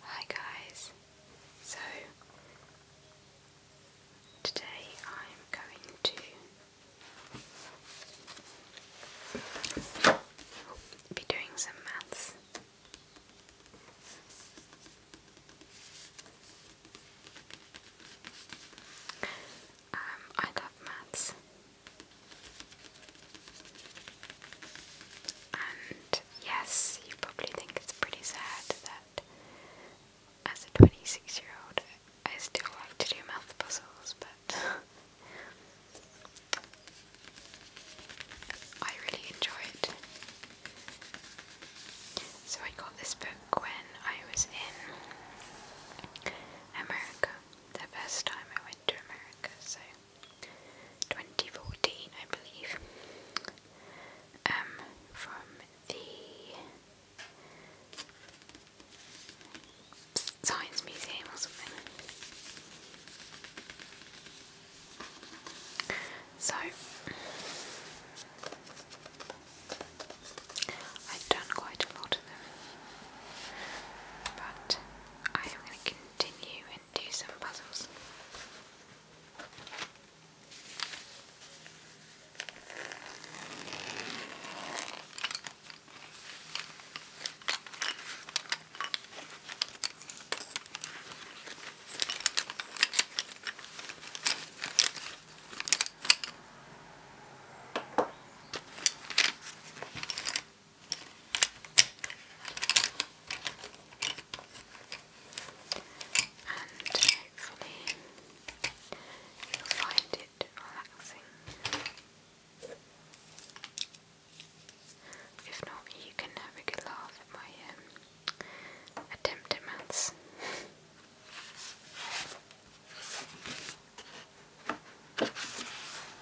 Hi guys, so today I'm going to be doing some maths. Um, I love maths. And yes, you probably think it's pretty sad that as a 26 year old I still like to do math puzzles, but I really enjoy it. So I got this book when I was in America, the first time I went to America, so 2014, I believe, um, from the Science Museum or something. So, I've done quite a lot of them, but I am going to continue and do some puzzles. And hopefully you'll find it relaxing. If not, you can have a good laugh at my um, attempt at maths.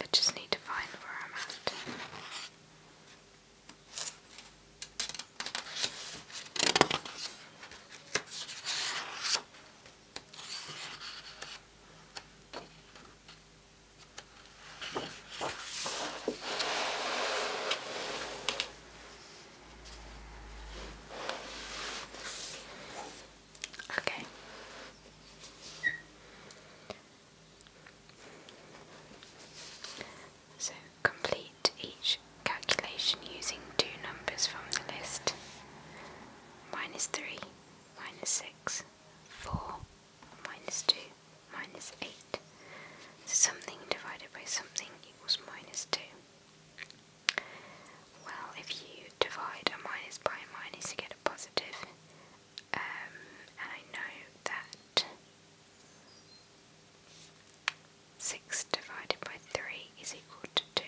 I just need to find where I'm at. Okay. So complete each calculation using two numbers from the list. Minus 3, minus 6, 4, minus 2, minus 8. So something divided by something equals minus 2. Well, if you divide a minus by a minus, you get a positive. Um, and I know that 6 divided by 3 is equal to 2.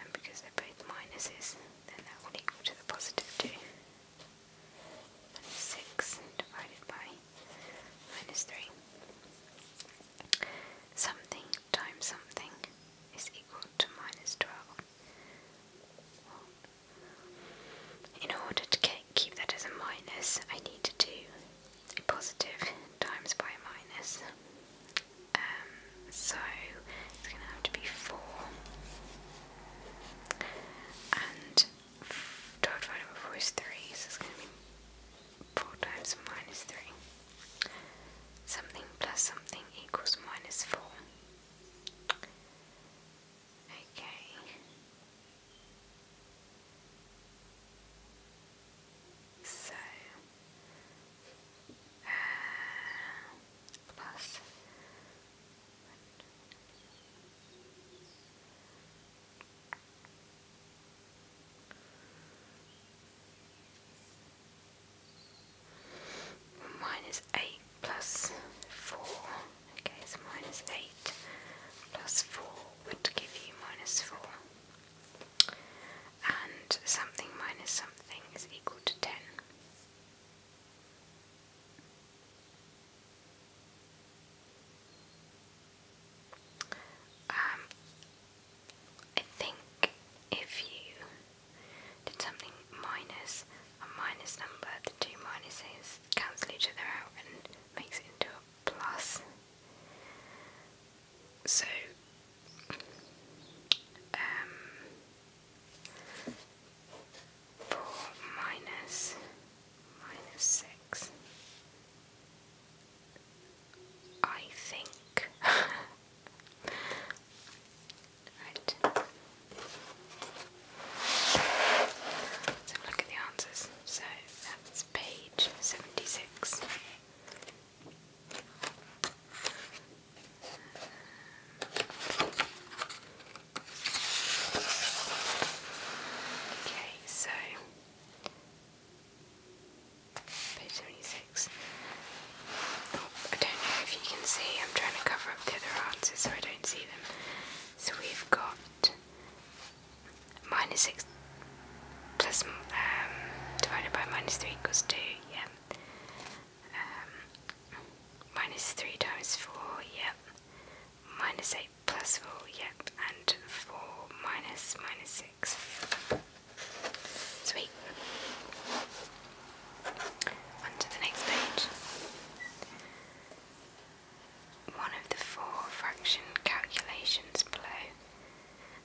And because they're both minuses, then that will equal to the positive 2. 6 divided by minus 3. Something times something is equal to minus 12. In order to keep that as a minus, I need to do a positive times by minus. Um, so it's going to have to be 4. And 12 divided by 4 is 3, 4 times minus 3. Something plus something equals minus 4. Okay. So, uh, plus. Minus 8 plus 4, okay, so minus 8 plus 4 would give you minus 4. And something minus something is equal to 10. Um, I think if you did something minus a minus number, the two minuses cancel each other out and makes it into a plus. So, um, four minus minus six I think. Let's have a look at the answers. So that's page 76. Okay, so Page 76. I don't know if you can see, I'm trying to cover up the other answers so I don't see them. So we've got minus 6 plus um, divided by minus 3 equals 2, yeah. Um, 3 times 4, yep. Minus 8 plus 4, yep, and 4 minus minus 6. Sweet. On to the next page. One of the four fraction calculations below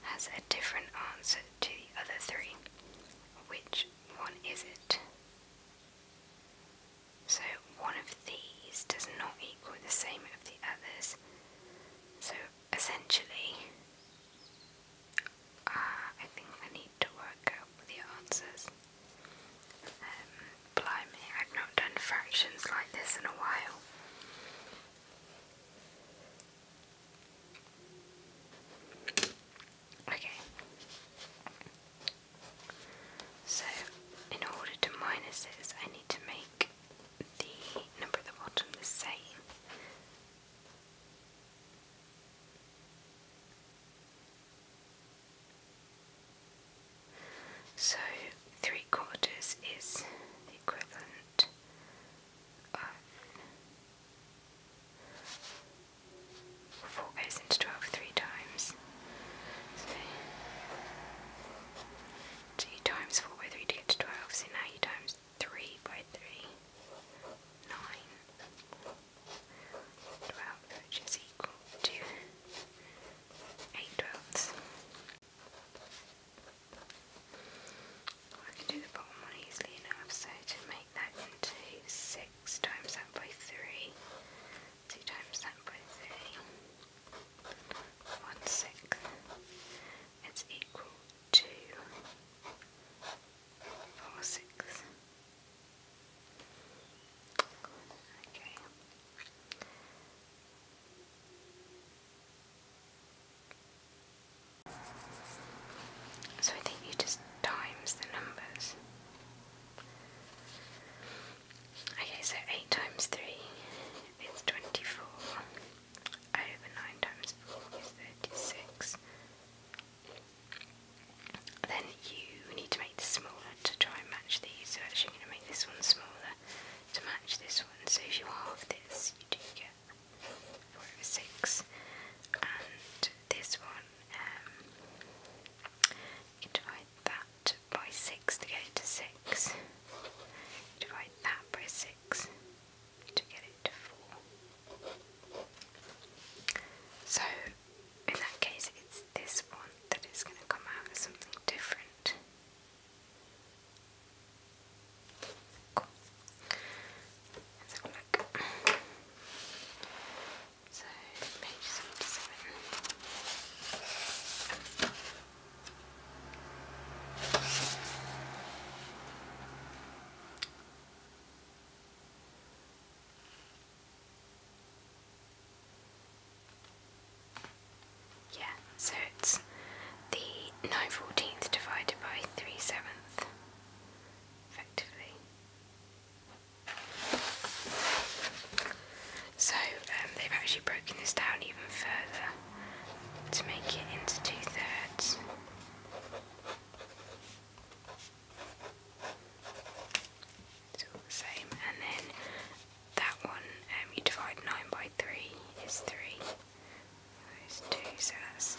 has a different answer to the other three. Which one is it? So, one of these does not equal the same of the others. So essentially, uh, I think I need to work out the answers. Um, blimey, I've not done fractions like this in a while. Okay. So, in order to minus I need to make the number at the bottom the same. So three quarters is equivalent of four goes into twelve three times. Two times 4 by 3 to get to 12, so now you times 3 by 3, 9, which is equal to 8 I can do the bottom one easily enough, so to make that into 6 times that by 3, 2 times that by 3, 1 sixth is equal to 4 sixths. Okay. So I think you just times the numbers. Okay, so 8 times 3 is 24 over 9 times 4 is 36. Then you need to make this smaller to try and match these, so I'm going to make this one smaller to match this one. So if you halve this, you do get 4 over 6. And this one, um, you that by 6 to get it to 6. Divide that by 6 to get it to 4. So, in that case, it's this one that is going to come out as something different. Cool. Let's have a look. So, page 77. Yeah, so it's the 9 14th divided by 3 7th, effectively. So um, they've actually broken this down even further to make it into two thirds. It's all the same, and then that one um, you divide 9 by 3 is 3. Those two, so that's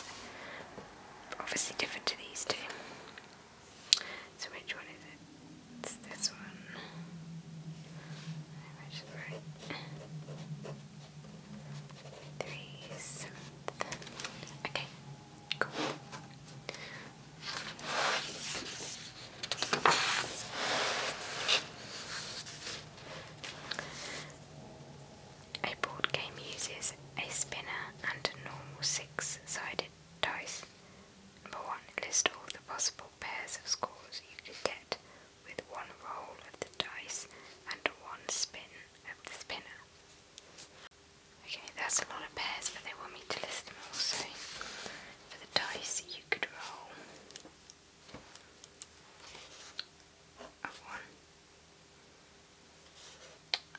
obviously different to these two. So, which one is it? It's this one. I should write three seventh. Okay, cool. A board game uses a spinner and a normal six-sided dice Number 1. List all the possible pairs of scores you could get with one roll of the dice and one spin of the spinner. Okay, that's a lot of pairs, but they want me to list them all. So, for the dice, you could roll a 1,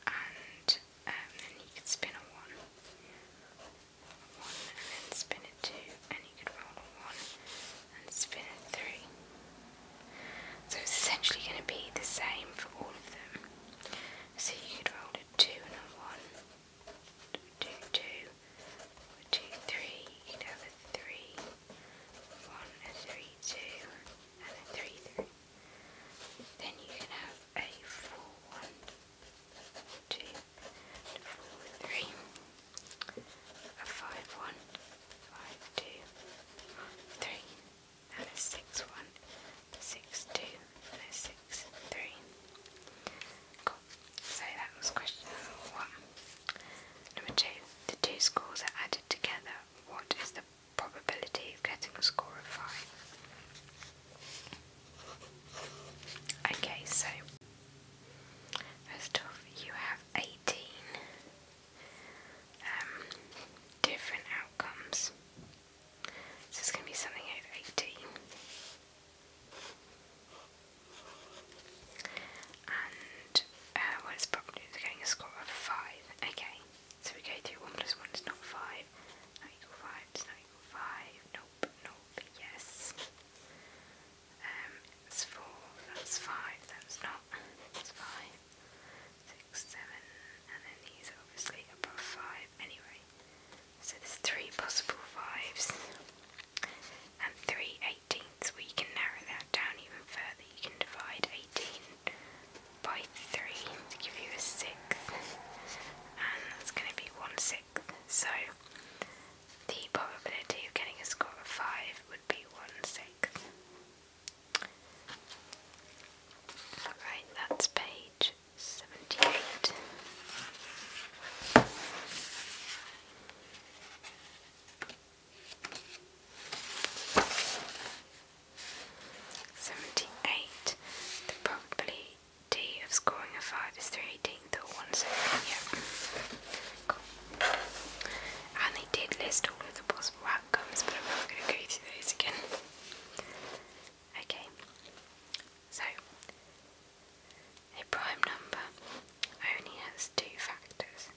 and um, then you could spin a 1 one and then spin it two, and you could roll a one and spin it three. So it's essentially going to be the same for all of them. So you could roll a two and a one, two, two, You could have a three, one, a three, two, and a three, three. Then you can have a four, one, two, a and a So that was question one. Number two, the two scores are added together. What is the probability of getting a score of five? Okay, so first off, you have 18 um, different outcomes. So it's going to be something over 18. And uh, probably getting a score of 5. Okay, so we go through 1 plus 1 is not 5, not 5, it's not equal 5, not nope, yes. Um, it's four, that's five, that's not, that's five, six, seven, and then these are obviously above five anyway. So there's three possible fives and three eighteenths. Well, you can narrow that down even further. You can divide 18 by 3 to give you a sixth, and that's going to be 1 6 so the probability of getting a score of five would be one sixth. Alright, that's page seventy-eight. Seventy-eight. The probability day of scoring a five is 318th or 1 second, yeah. Cool. And they did list all of the possible outcomes, but I'm not going to go through those again. Okay, so a prime number only has two factors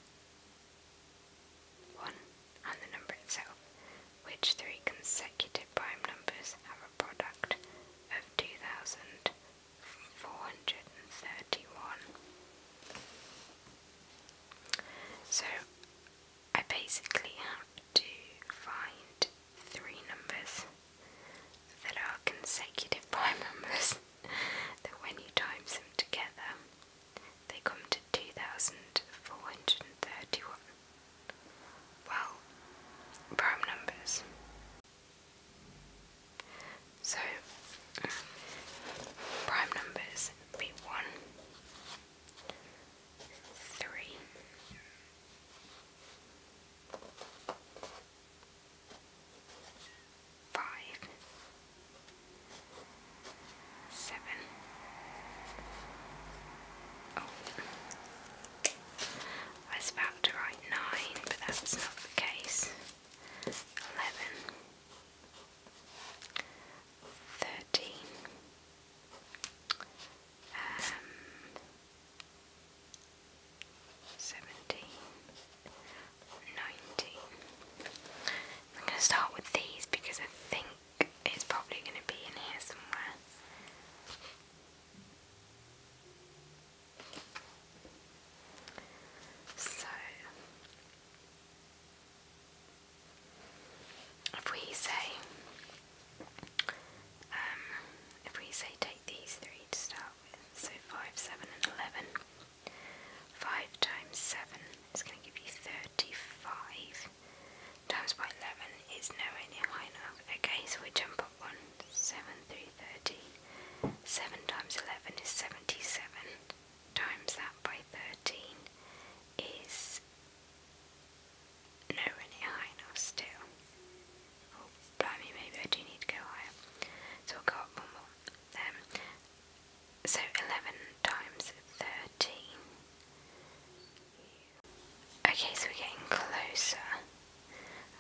1 and the number itself, which three consecutive prime numbers have a product of 2431. So I basically have to find three numbers that are consecutive prime numbers that when you times them together they come to 2431 well, prime numbers. So, prime numbers be 1, 7, I was about to write 9, but that's not the case. 11, um, I'm going to start with these because I think it's probably going to be in here somewhere. So, if we say, um, if we say take these three to start with, so 5, 7 and 11, 5 times 7 is going to give you 35, times by 11 is nowhere near high enough. Okay, so we jump up one. 7 through 30. 7 times 11 is 77. Times that by 13 is nowhere near high enough still. Oh, maybe I do need to go higher. So we'll go up one more. Um, so 11 times 13 Okay, so we're getting closer.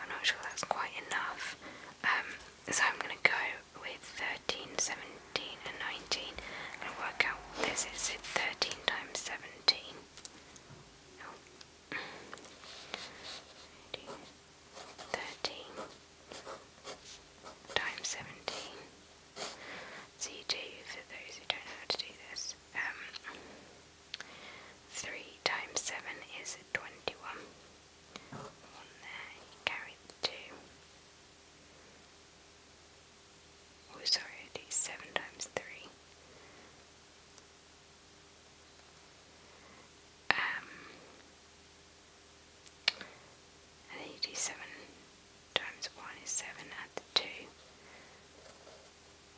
I'm not sure that's quite enough. Um, so I'm going to go with 13, 17 and 19 and work out what this is. So 13 times 17. 13 times 17. So you do, for those who don't know how to do this, um, 3 times 7 is 21. One there, carry the 2. Oh, sorry, do 7 times 3. Um, and then you do 7 times 1 is 7, add the 2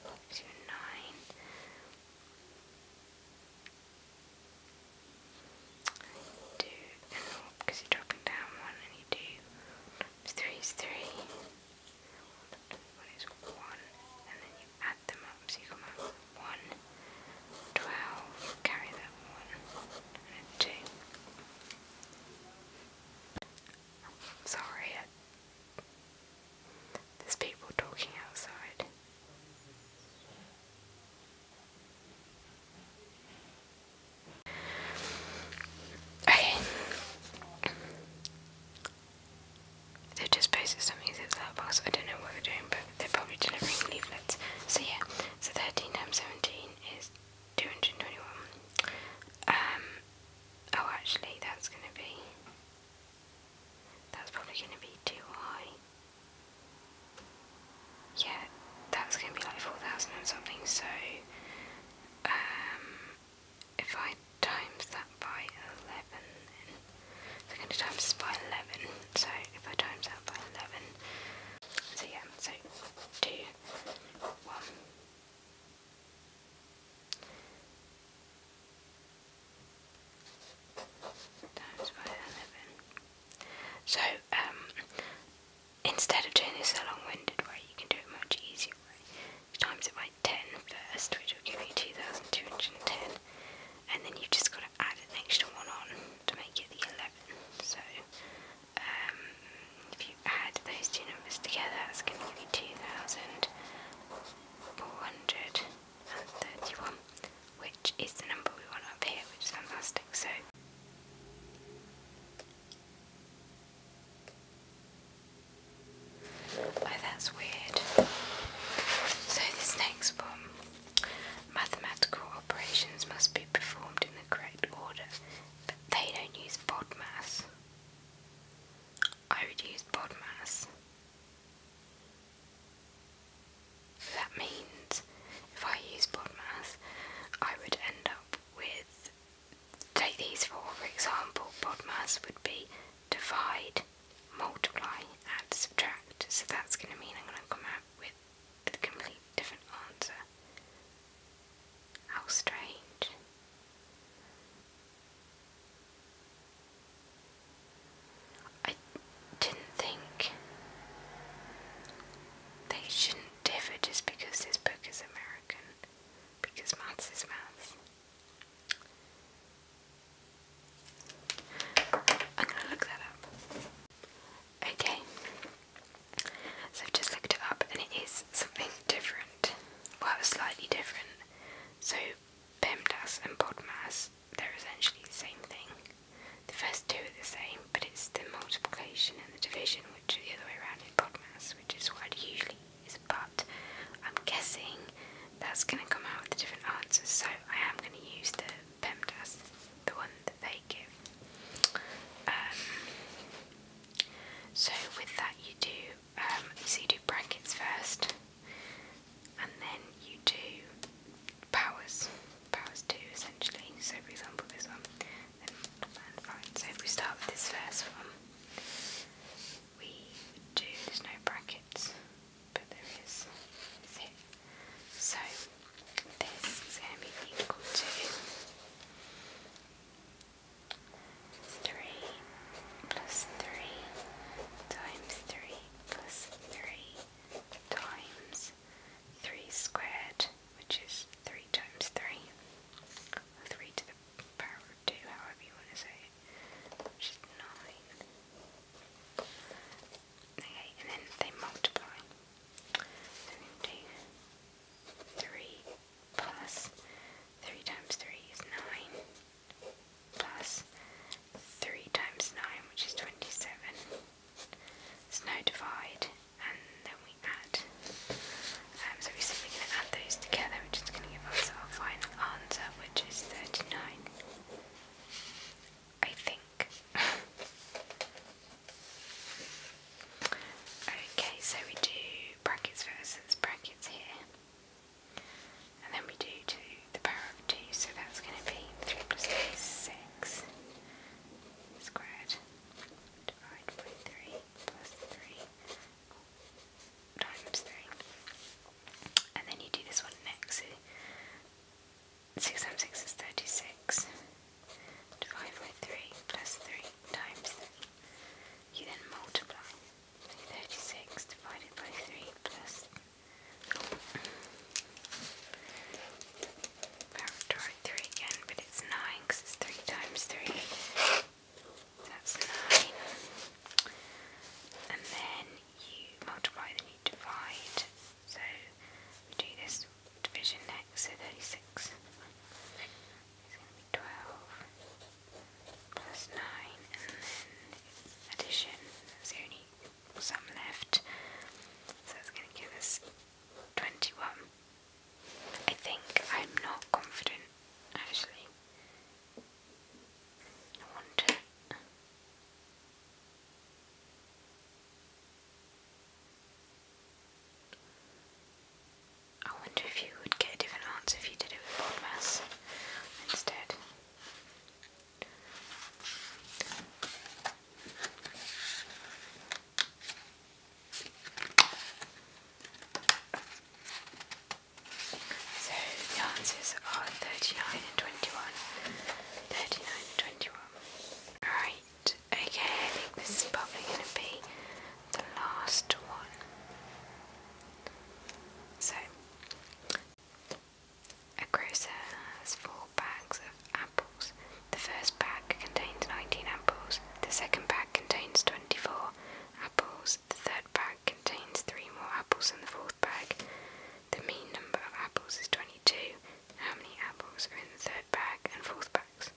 up nine. Two and because you're dropping down one and you do three is three. One is one and then you add them up so you come out one, twelve, carry that one and a two. Sorry, there's people talking outside. Okay. they are just posted some music at that box. I don't know what they're doing, but they're probably delivering leaflets. So yeah, so 13 times 17 is 221. Um, Oh, actually, that's going to be... That's probably going to be too high. Yeah, that's going to be like 4,000 and something, so... Um, if I times that by 11, So I'm going to times this by 11, so if I times that by 11... So yeah, so 2, 1... So, um, instead of doing this so long-winded way, you can do it much easier way. times it by 10 first, which will give you 2,210, and then you've just got to add an extra one on to make it the 11. So, um, if you add those two numbers together, that's going to give 2,431, which is the number we want up here, which is fantastic. So. Oh, that's weird. So, this next one mathematical operations must be performed in the correct order, but they don't use BODMAS. I would use BODMAS. That means if I use BODMAS, I would end up with, take these four for example, BODMAS would be divide, multiply, add, subtract. So that's going to mean I'm going to come out with a complete different answer. How strange. I didn't think they shouldn't differ just because this book is American, because maths is maths. I'm gonna look that up. Okay, so I've just looked it up and it is something different. Well, slightly different. So PEMDAS and PODMAS, they're essentially the same thing. The first two are the same, but it's the multiplication and the division which are the other way around in PODMAS, which is what usually is. But I'm guessing that's going to come out with the different answers, so I am going to use the PEMDAS, the one that they give. Um, so with that, you do um, so you do brackets first, and then you do powers, powers two essentially. So for example, this one, then and So if we start with this first one, we do there's no brackets, but there is. So this is going to be equal to Three plus three times three plus three times three squared, which is three times three. three to the power of two, however you want to say it. Which is nine. Okay, and then they multiply. So we three plus 3 times 3 is 9 plus 3 times 9 which is 27. There's no divide and then we add. Um, so we're simply going to add those together We're just going to give ourselves our final answer which is 39. I think. Okay, so we do brackets versus brackets here. And then we do 2 the power of 2, so that's going to be 3 plus 3 6 squared divided by 3 plus 3 times 3. And then you do this one next. 6 times 6 is 36 divide by 3 plus 3 times 3. You then multiply 36 divided by 3 plus factorial 3 again, but it's 9 because it's 3 times 3. That's 9. And then you multiply, then you divide. So do this division next, so 36. It's going to be 12 plus 9, and then addition, there's only some left, so it's going to give us 21. I think I'm not confident, actually. I wonder. I wonder if you would get a different answer if you did it with Podmas instead. So the answers are 39 and 21. 39 and 21. Alright, Okay, I think this is probably going to be the last one. So, a grocer has four bags of apples. The first bag contains 19 apples, the second bag contains 24 apples, the third bag contains 3 more apples than the fourth bag. The mean number of apples is 22. How many apples are in the third bag and fourth bags?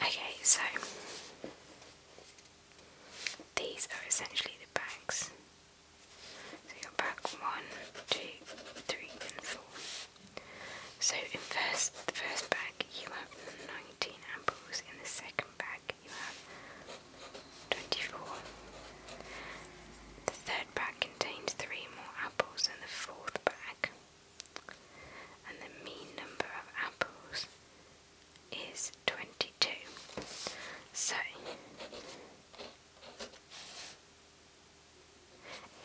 Okay, so these are essentially the bags. So your bag one, two, three, and four. So in first the first bag you have 19 and in the second bag you have 24. The third bag contains three more apples than the fourth bag, and the mean number of apples is 22. So,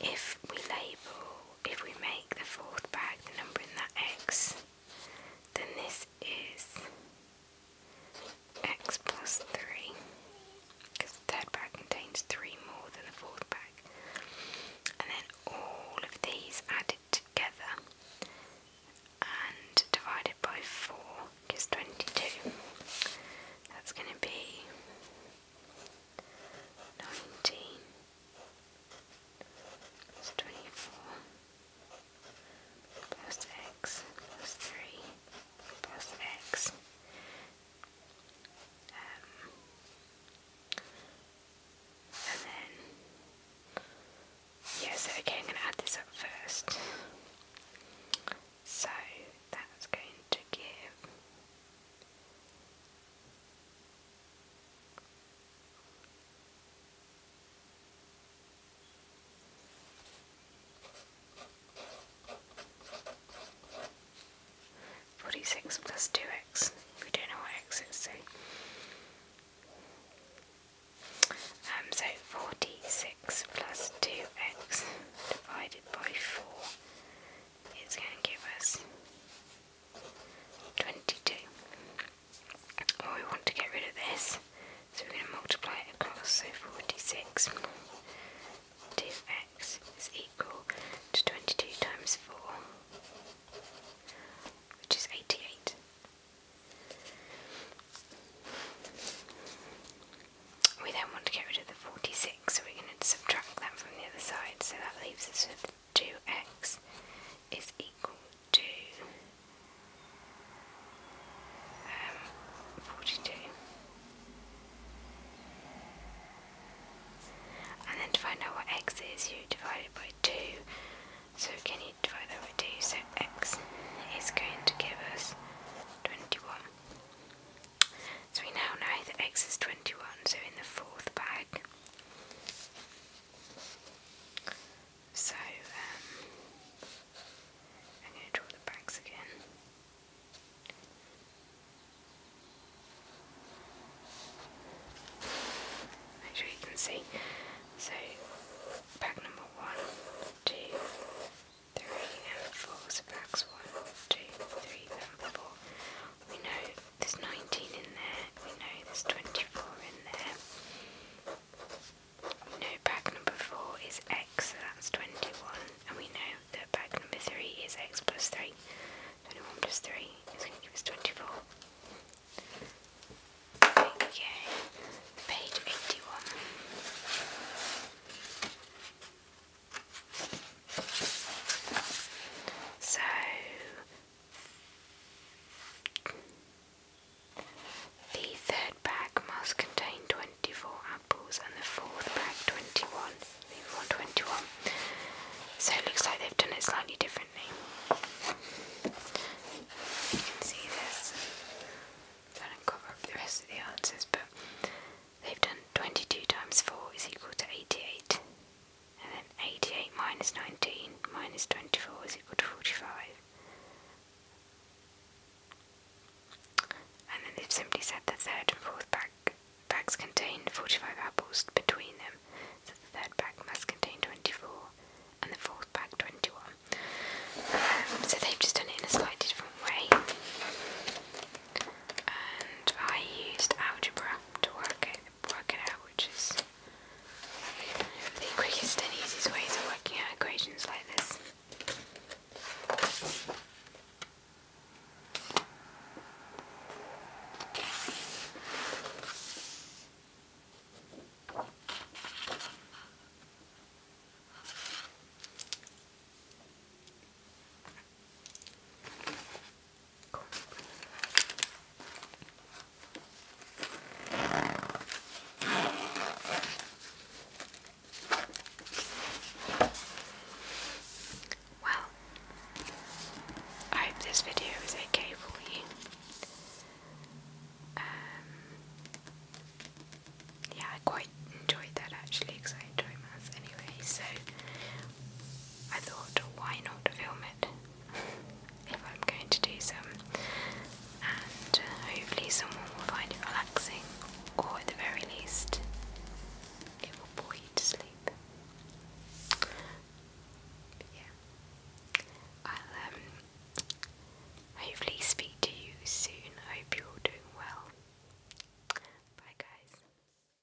if we label, if we make the fourth bag the number in that X, then this is x plus 3 because the third pack contains 3 more than the fourth bag, and then all of these added together and divided by 4 gives 22 that's going to be 19 it's 24 plus x plus 3 plus x. Um, and then, yeah, okay, I'm going to add this up first. So that's going to give Forty-six plus two x. We don't know what x is, so um, so forty-six plus two x divided by four is going to give us 22. Well, oh, we want to get rid of this, so we're going to multiply it across, so 46. 2x is equal to 22 times 4, which is 88. We then want to get rid of the 46, so we're going to subtract that from the other side, so that leaves us with 2x is equal to um, 42. And then to find out what x is, you divide it by 2. So can you divide that by 2? So x is going to give us 21. So we now know that x is 21, so in the fourth bag so, um, I'm going to draw the bags again. Make sure you can see. So, bag number one, two, three, and four. bags one, two, three, and four we know there's 19 in there, we know there's 24 in there. We know bag number 4 is x, so that's 21, and we know that bag number 3 is x plus 3. 21 plus 3 is going to give us 24. Okay, page 81. So, the third bag must contain 24 apples and the fourth bag 21. Leave So it looks like they've done it slightly differently. You can see this. I don't cover up the rest of the answers, but they've done 22 times 4 is equal to 88 and then 88 minus 19 minus 24 is equal to 45. And then they've simply said the third and fourth pack bags contain 45 apples between them, so the third pack must contain 24 and the fourth pack 21. Um, so they've just done it in a slightly different way. And I used algebra to work out work it out, which is the quickest and easiest ways of working out equations like this. Well, I hope this video is okay for you. Um, yeah, quite enjoyed that actually because I enjoy maths anyway. So I thought, why not film it if I'm going to do some, and uh, hopefully, someone will find it relaxing, or at the very least, it will bore you to sleep. yeah, I'll um, hopefully speak to you soon. I hope you're doing well. Bye, guys.